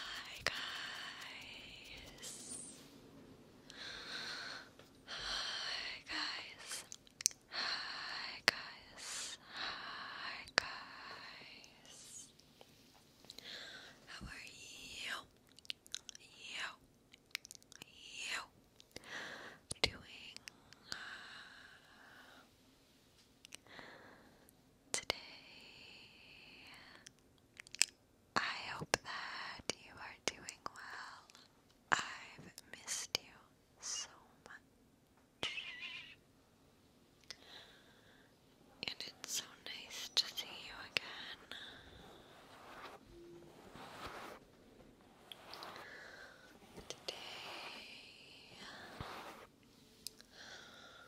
Hi guys. Hi guys. Hi guys. Hi guys. How are you? You. You. Doing. Uh, today. I hope that you are doing well. I've missed you so much. And it's so nice to see you again. Today,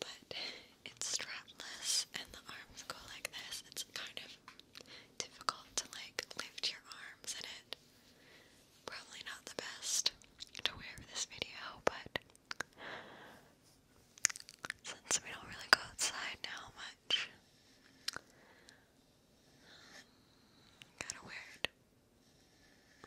But it's strapless and the arms go like this. It's kind of difficult to like lift your arms in it. Probably not the best to wear for this video, but since we don't really go outside now much, kinda weird.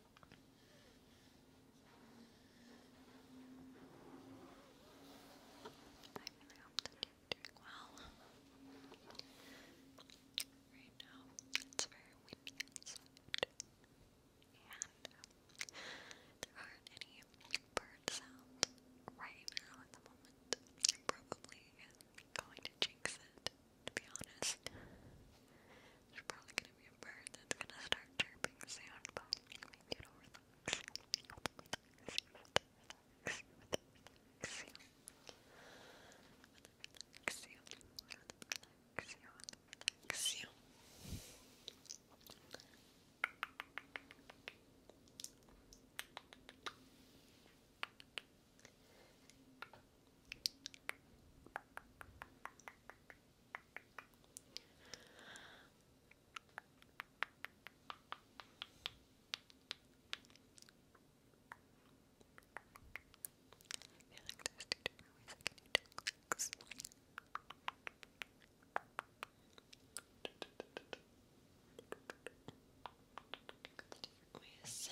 really hope that you're doing well. Right now, it's very windy and any bird sounds right now at the moment. I'm probably going to jinx it, to be honest. There's probably gonna be a bird that's gonna start chirping soon, but maybe it you. Relax you, relax you, relax you like there's two different ways I can do two clicks. Different ways.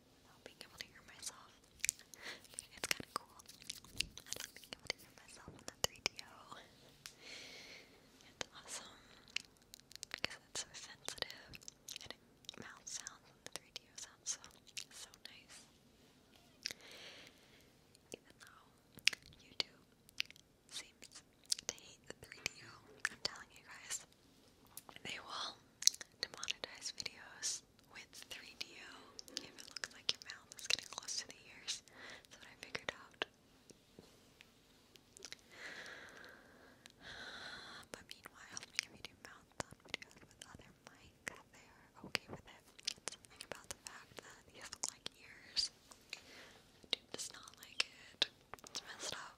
not being able to hear myself. It's kind of cool. being able to hear myself on the 3DO. It's awesome because it's so sensitive and it, sounds the 3DO sounds so, so nice. Even though YouTube seems to hate the 3DO, am telling you guys, they will to monetize videos with 3DO if it looks like your mouth is getting close to the ears. That's I figured out. But meanwhile, if you do mouth on videos with other mics, they're okay with it. something about the fact that he doesn't like ears. Dude does not like it. It's messed up.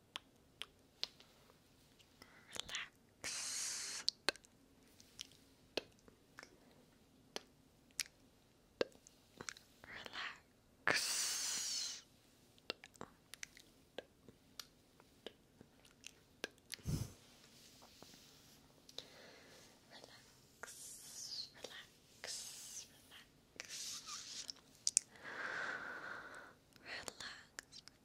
relaxed. Relax. Relax, relax, relax. Relax,